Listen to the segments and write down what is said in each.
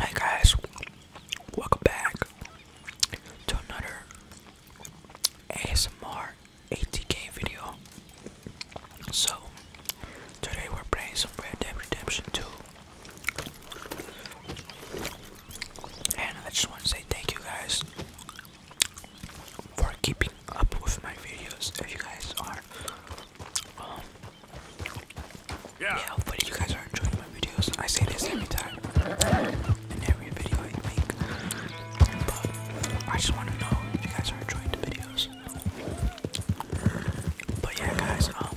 Hey guys, welcome back to another ASMR ATK video. So, today we're playing some Red Dead Redemption 2. And I just want to say thank you guys for keeping up with my videos. If you guys are yeah. yeah, you guys are enjoying my videos. I say this every time in every video I make. But I just want to know if you guys are enjoying the videos. But yeah guys, um,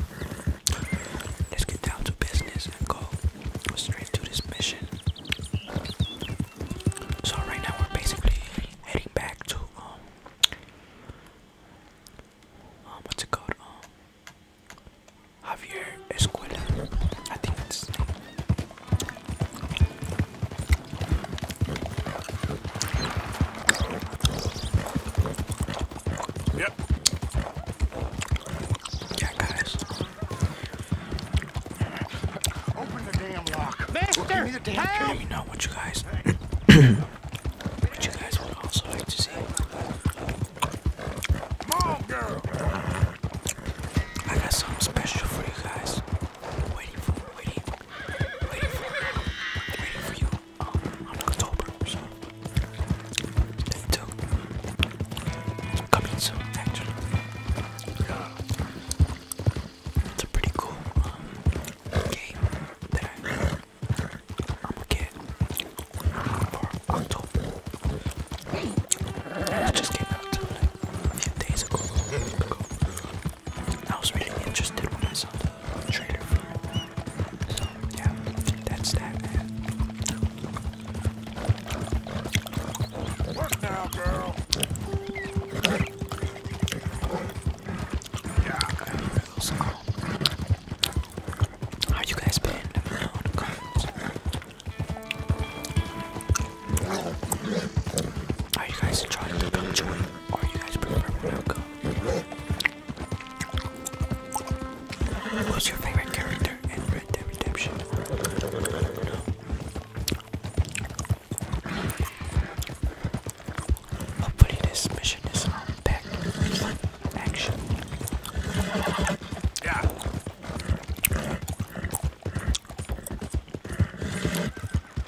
let's get down to business and go straight to this mission. So right now we're basically heading back to um, um, what's it called? Um, Javier Escuela. I think it's. Yep. Yeah, guys. Open the damn lock. Master, Open the damn help! Let me know what you guys But you guys would also like to see. Come on, girl. I got something special for you guys. Waiting for, waiting, waiting for, you. Um, on October, so stay tuned. It's coming soon, actually. It's a pretty cool um, game I'm going I just came out a few days ago. I was really interested when I saw So yeah, that's that man. now, girl? Yeah, so how you guys been? Are you guys trying to become joy? Or are you guys playing prefer Maruko? Who's your favorite character in Red Dead Redemption? Hopefully this mission is on back action. Yeah.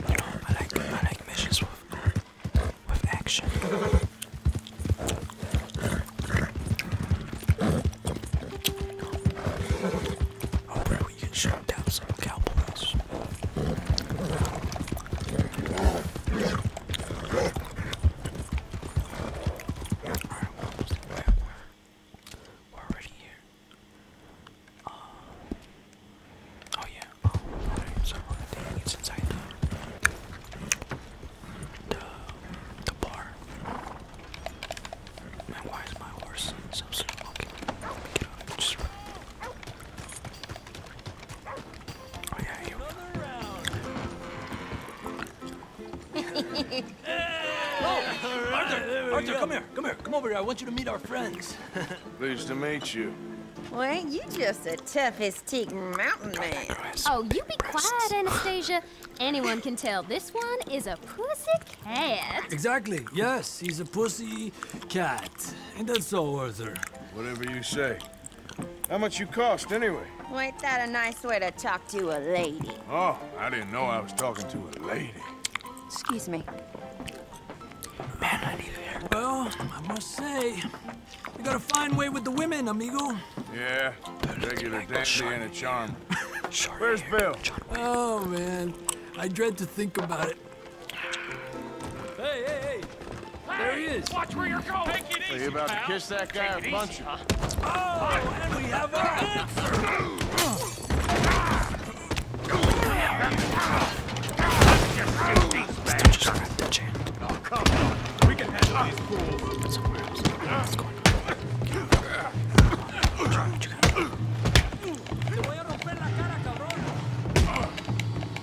You know, I like I like missions with with action. Oh bro, we can shoot down some cowboys. Alright, we're almost there. We're already here. Um, oh yeah, oh, alright, so we're taking it's inside the, the, the bar. Man, why is my horse so slow walking? Get out, just run. Oh, Arthur, come here, come here, come over here. I want you to meet our friends. Pleased to meet you. Well, ain't you just the toughest teak mountain man? Oh, you be quiet, Anastasia. Anyone can tell this one is a pussy cat. Exactly. Yes, he's a pussy cat. and that's so, Arthur? Whatever you say. How much you cost, anyway? Well, ain't that a nice way to talk to a lady? Oh, I didn't know I was talking to a lady. Excuse me. Man, I need an haircut. Well, I must say, you got a fine way with the women, amigo. Yeah, regular dandy and a charm. Where's Bill? Oh, man. I dread to think about it. Hey, hey, hey! There he is. Watch where you're going. Take it so easy, you about pal. to kiss that guy or punch him? Huh? Oh, and we have our answer. Oh, come on. We can handle these fools. But somewhere else. What's going on? What you gonna do? Te voy a romper la cara, cabrón.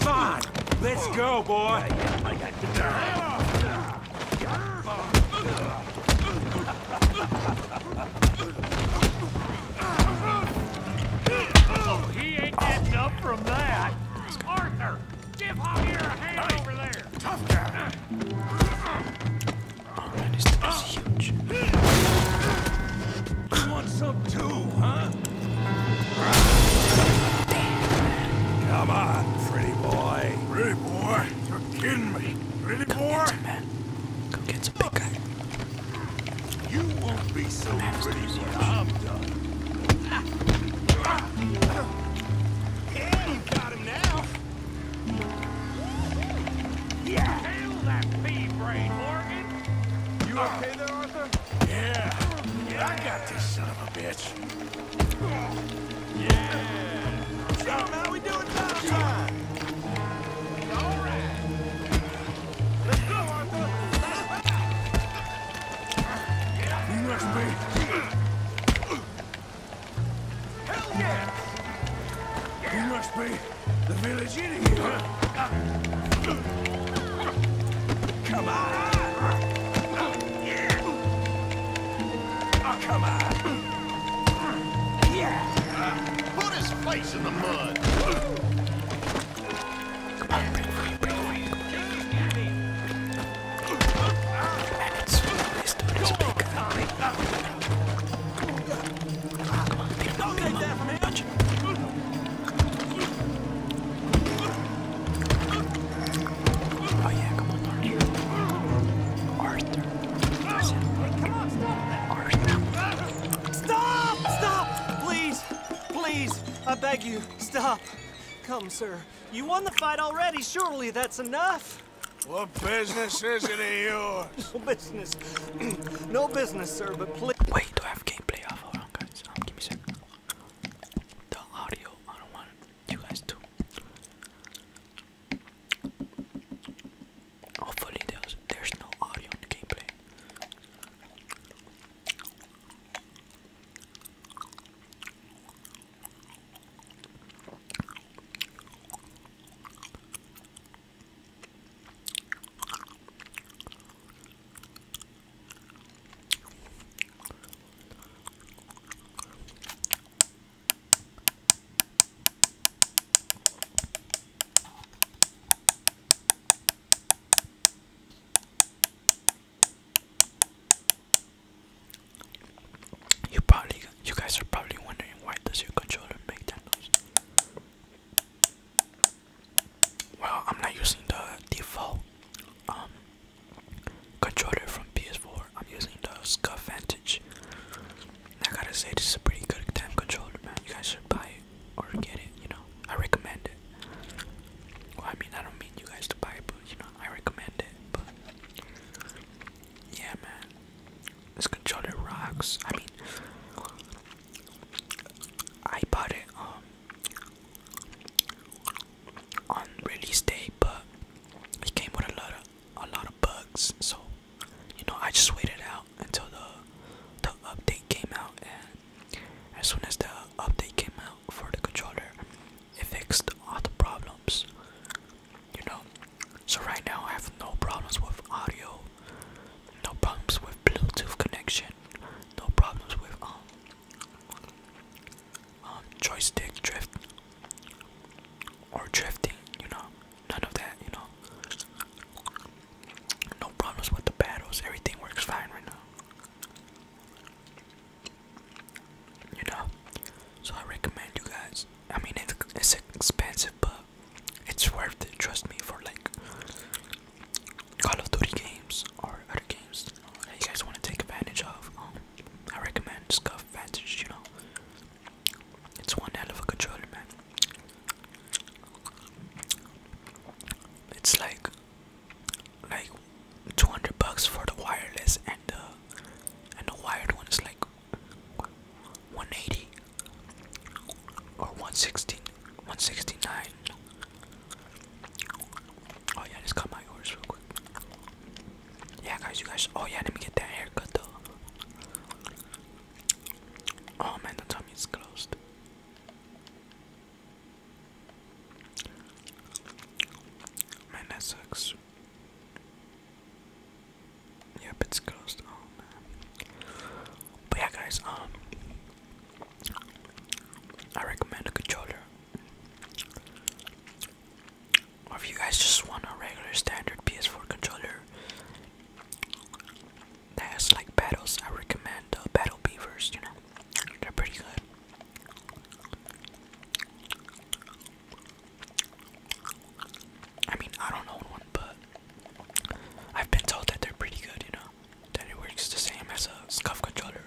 Come on! Let's go, boy! I oh, he ain't getting up from that. Arthur, give Javier a hand over there. Tough guy. Oh, man, this thing is huge. You want some too, huh? Come on, pretty boy. Pretty boy? You're kidding me. Pretty Come boy? Get some, man. Go get some big guy. You won't be so Come I'm done. Yeah, you got him now. Yeah. Hail that pea brain, Morgan. You okay there, yeah. yeah. I got this son of a bitch. Yeah. So now we doing time time. All right. Let's go, Arthur. Hell Yeah. You must be the village idiot, huh? Come on! Yeah! Come on! Yeah! Put his face in the mud! Come on, break free, break free. And it's this dude is big. big. Come on, beat him up, beat him up. Punch him. Oh yeah, come on, Arthur. Arthur. stop. Arthur. Stop! Stop! Please, please, I beg you, stop. Come, sir. You won the fight already. Surely that's enough. What business is it of yours? no business. no business, sir, but please. Wait, do I have gameplay off? Oh, hold on, guys. give me a second the audio. I don't want you guys to. Hopefully, there's, there's no audio in the gameplay. You probably, you guys are probably wondering why does your controller make that noise? Well, I'm not using the default um, controller from PS4. I'm using the Scuff Vantage. I gotta say, this is a pretty good game controller, man. You guys should buy it or get it. You know, I recommend it. I mean, I don't mean you guys to buy it, but you know, I recommend it. But yeah, man, this controller rocks. I mean, I bought it um, on release day, but it came with a lot of a lot of bugs. So you know, I just waited out until the the update came out, and as soon as the update came out for the controller, it fixed all the problems. You know, so right now I have no problems with audio, no problems with Bluetooth connection, no problems with um um, joystick drift or drifting, you know, none of that, you know. No problems with the battles, everything works fine right now. You know, so I recommend you guys. I mean, it's, it's expensive, but it's worth it. Trust me, for like Call of Duty games or other games that you guys want to take advantage of. Um, I recommend Scuff Advantage. you know. It's one hell of a controller, man. It's like like 200 bucks for the wireless and the and the wired one is like 180 or 116 169 Oh yeah, just cut my yours real quick. Yeah, guys, you guys. Oh yeah, let me get that haircut though. Oh man, the tummy's closed. Man, that sucks. Yep, it's closed. Oh man. But yeah, guys. Um, I recommend a controller. Or if you guys just want a regular standard PS4 controller that like battles, I recommend uh, Battle Beavers, you know, they're pretty good. I mean, I don't own one, but I've been told that they're pretty good, you know that it works the same as a scuff controller.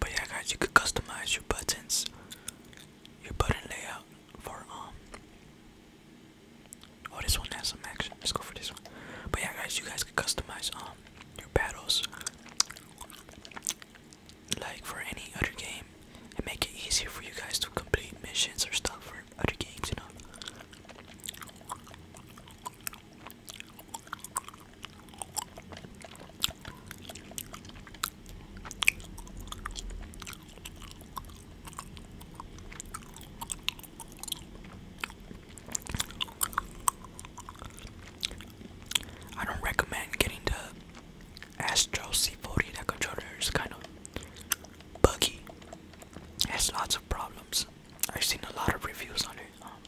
But yeah guys, you could customize your buttons, your button layout for um Oh this one has some action. Let's go for this one. But yeah guys you guys could customize um your battles like for any other game and make it easier for you guys to complete missions or stuff for other games, you know. I don't recommend getting the Astro C40 that controller is kind of buggy. has lots of problems. I've seen a lot of reviews on it. Um,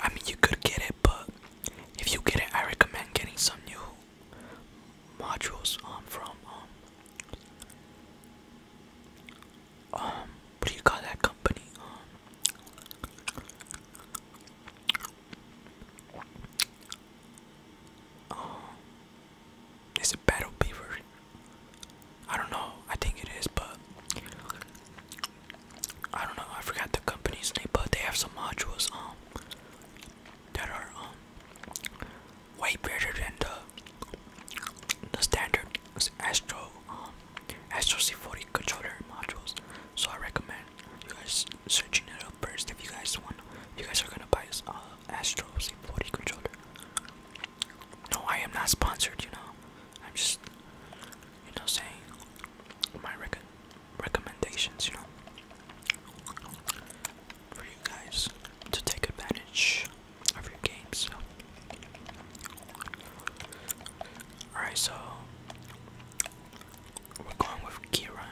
I mean, you could get it, but if you get it, I recommend getting some new modules um, from um, um, what do you call that company? Um, um, it's a battle beaver. I don't know. I think it is, but I don't know. I forgot the company's name, but they have some modules um that are um way better than the the standard Astro um, Astro C40 controller modules. So I recommend you guys searching it up first if you guys want. You guys are gonna buy uh, Astro C40 controller. No, I am not sponsored. You know, I'm just, you know, saying my rec recommendations. You know, for you guys to take advantage of your games. Alright, so we're going with Kira.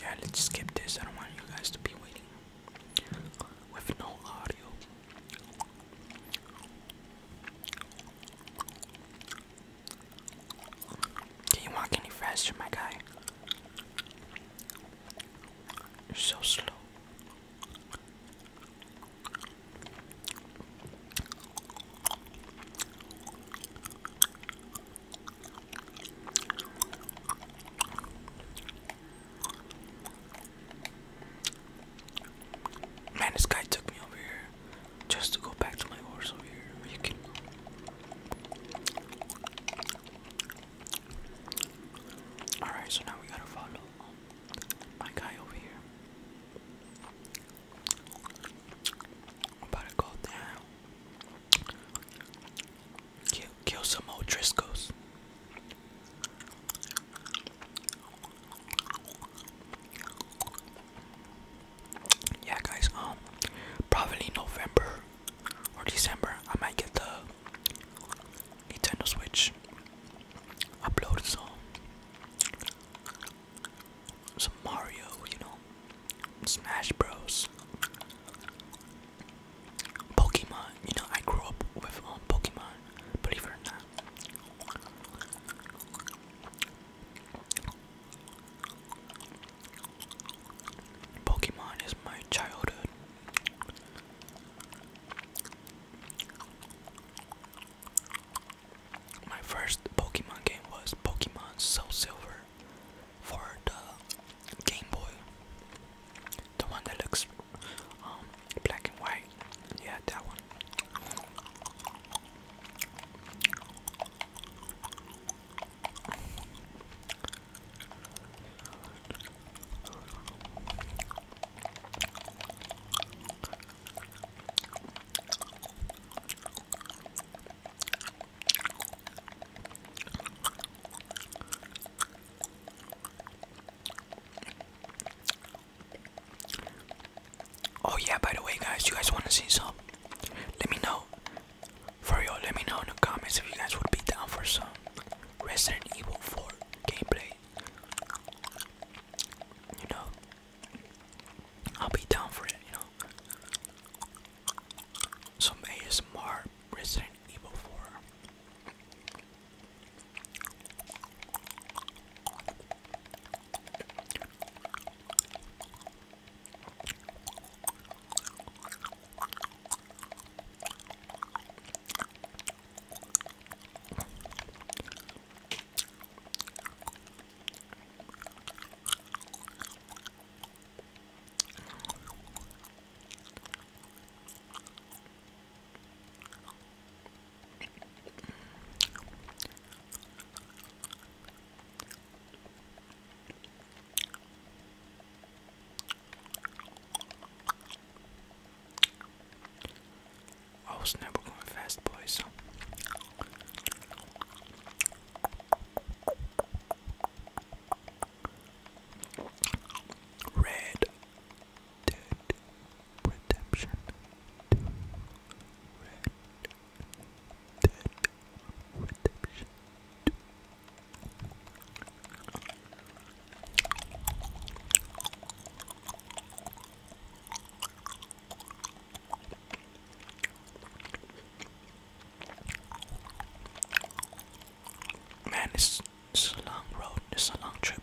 Yeah, let's skip this. I don't want you guys to be waiting with no audio. Can you walk any faster, my guy? You're so slow. Man, this guy took me over here just to go back to my horse over here. Alright, so now we gotta follow my guy over here. about to go down. Kill, kill some old Driscoll's. Yeah, guys. Um, probably November or December. I might get the Nintendo Switch. Upload some some Mario, you know. Smash Bros. Pokemon, you know, I grew up with um, Pokemon, believe it or not. Pokemon is my childhood. My first Pokemon game was Pokemon Soul Silver for the Game Boy, the one that looks um, black and white. Yeah, that one. Oh yeah, by the way guys, you guys want to see some? Let me know. For real, let me know in the comments if you guys would be down for some Resident Evil 4 gameplay. You know, I'll be down for it, you know some ASMR Resident Evil 4. I was never going fast, boys. Red Dead Redemption Red Dead Redemption Man, it's, it's a long road, it's a long trip.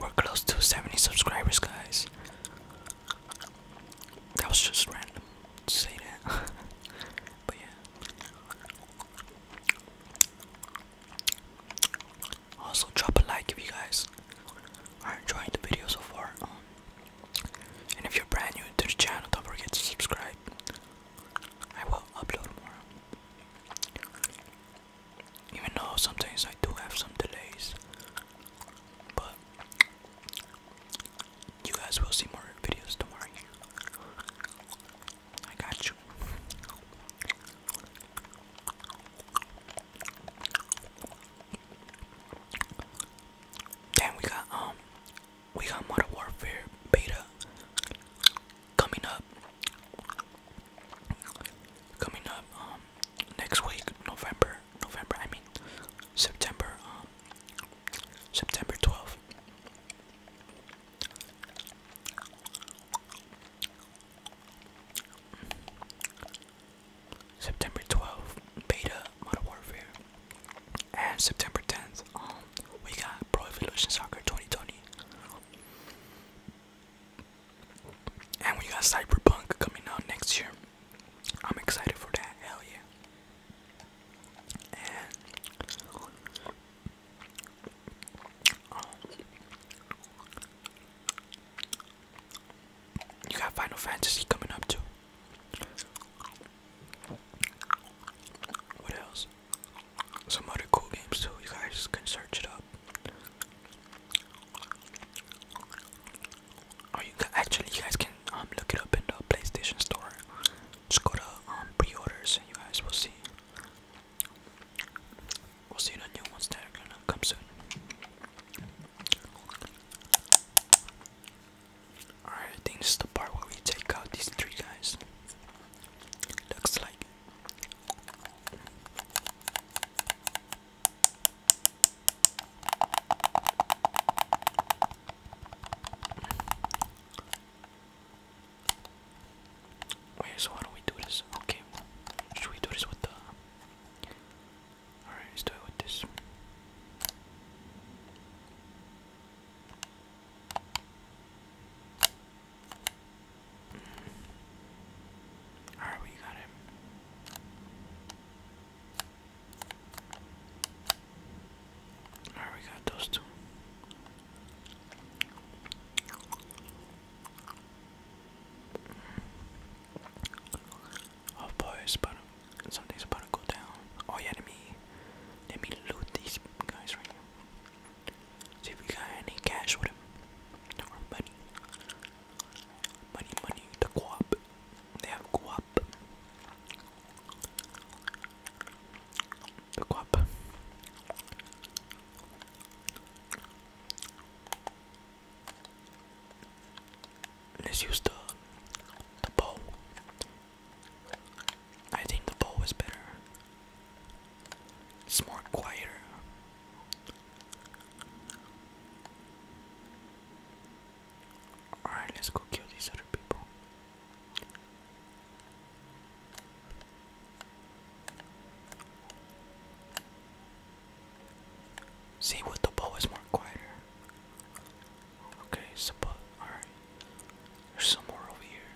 We're close to 70 subscribers, guys. That was just random say that. but yeah. Also drop a like if you guys are enjoying the video so far. Um, and if you're brand new to the channel, don't forget to subscribe. I will upload more. Even though sometimes I do have some delays. But you guys will see more videos tomorrow. I got you. Then we got um we got Modern Warfare beta coming up coming up um next week November November, I mean, September, um, September 12th. September 12th, Beta Modern Warfare. And September 10th, um, we got Pro Evolution Soccer 2020. And we got Cyberpunk coming out next year. I'm excited for that. Hell yeah. Um, you got Final Fantasy coming up too. What else? Some other cool games too. You guys can search it up. Or oh, you can, actually you guys can um, look it up in the PlayStation Store. Just go to um, pre-orders and you guys will see. We'll see the new ones that are gonna come soon. Alright, I think this is the part where we take out these three guys. Looks like. Wait, so how do we do this? Okay, should we do this with the. Alright, let's do it with this. Alright, we got him. Alright, we got those two. Oh boy, it's about to, something's about to go down. Oh yeah, let me loot these guys right here. See if we got any cash with him. Or money. Money, money, the co They have co The co Let's use the the bow. I think the bow is better. It's more quieter. Alright, let's go kill these other people. See, with the bow is more quieter. Okay, so alright. There's some more over here.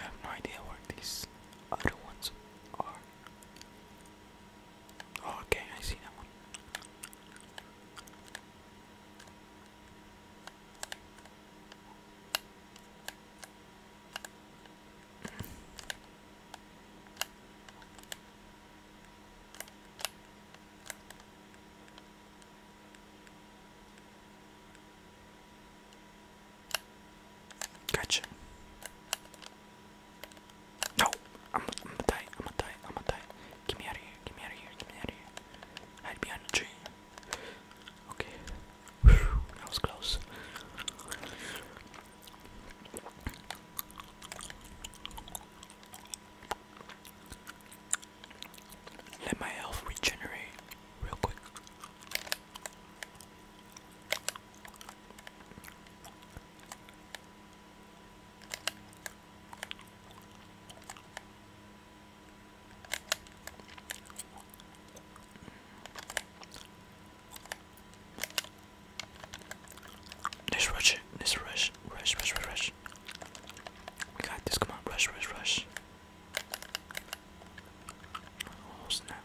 I have no idea where these other ones are. Oh, okay, I see that one. Gotcha. No, I'm, gonna die. I'm gonna die. I'm gonna die. Get me out of here. Get me out of here. Get me out of here. Hide behind the tree. Okay. Whew, was close. Let my health regenerate real quick let rush it. rush. Rush, rush, rush, rush. We got this. Come on. Rush, rush, rush. Oh snap.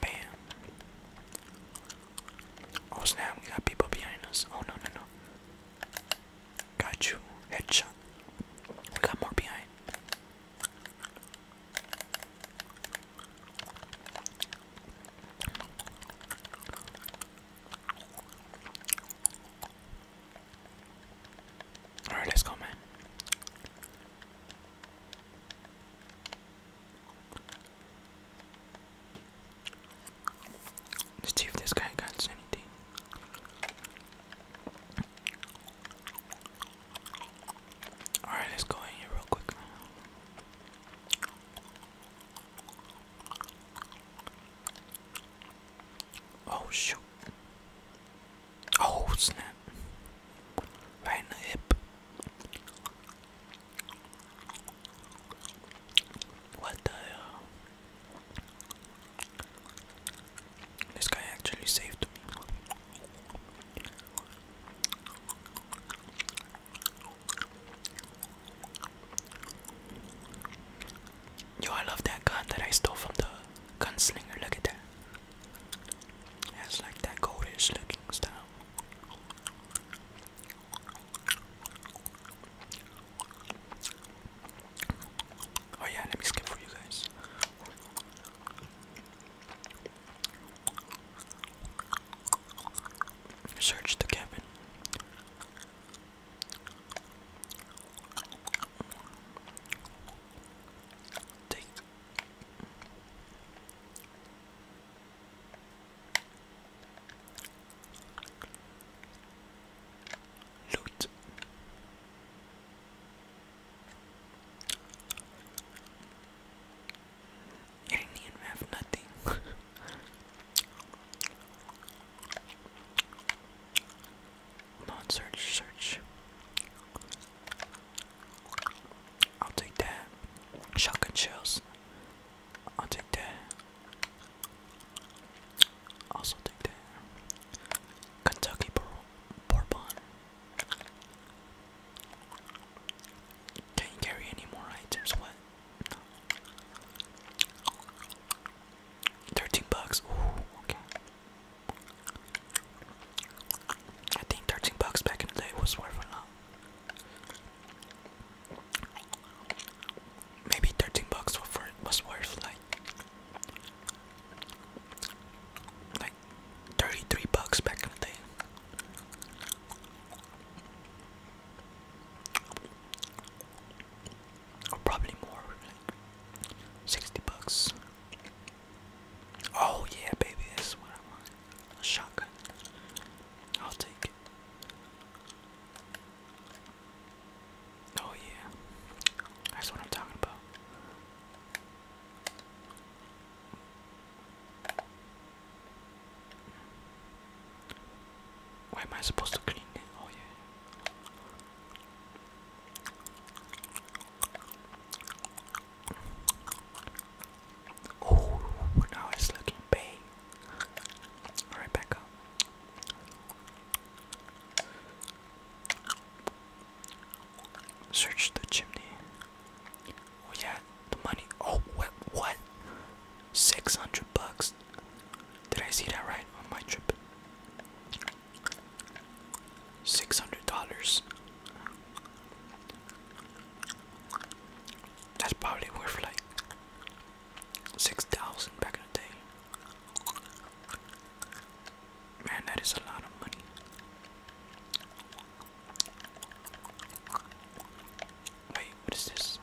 Bam. Oh snap, we got people behind us. Oh no, no, no. Got you. Headshot. We got more behind. Alright, let's go, man. Let's see if this guy got anything. Alright, let's go in here real quick. Oh shoot. Oh snap. Right in the hip. What the hell? This guy actually saved Yo, I love that gun that I stole from the gunslinger. Look at that. It has like that goldish looking style. Oh yeah, let me skip for you guys. Search the cabin. Take Loot. You have nothing. Come search, search. I'll take that. Shotgun shells. I'll take that. Also take that. Kentucky Bourbon. Can you carry any more items? What? Thirteen bucks. okay. I think thirteen bucks back in the day was worth a maybe 13 bucks was worth like like 33 bucks back in the day or probably more 60 bucks oh yeah baby that's what I want a shotgun I'll take it Oh yeah, that's what I'm talking about. Why am I supposed to clean it? Oh yeah. Oh, now it's looking big. Alright, Search the chimney. Oh yeah, the money. Oh, what? What? Six hundred bucks. Did I see that right on my trip? Six hundred dollars that's probably worth like 6,000 back in the day. Man, that is a lot of money. Wait, what is this?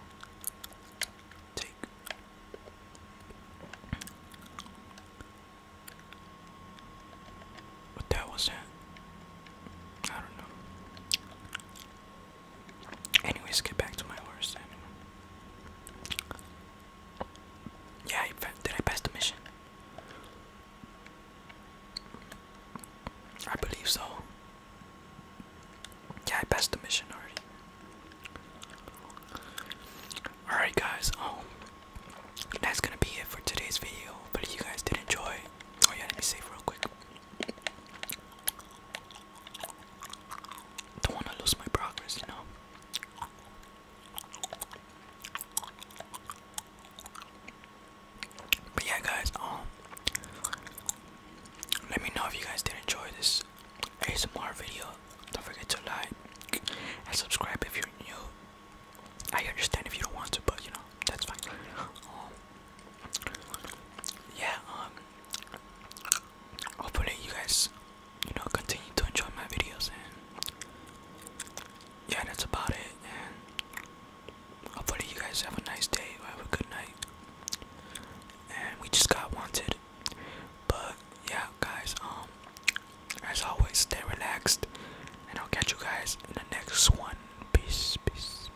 Take. What that was that? I don't know. Anyways, get back to my horse. Yeah, I, did I pass the mission? I believe so. Yeah, I passed the mission already. Alright guys, um that's gonna be it for today's video. But if you guys did enjoy oh yeah, let me save real quick. Don't want to lose my progress, you know. But yeah, guys. Um, let me know if you guys did enjoy this ASMR video. Don't forget to like and subscribe if you're new. I understand if you don't want to, but you know that's fine. Um, yeah, um, hopefully you guys, you know, continue to enjoy my videos, yeah, that's about it, and hopefully you guys have a nice day, or have a good night, and we just got wanted, but yeah, guys, um, as always, stay relaxed, and I'll catch you guys in the next one, peace, peace.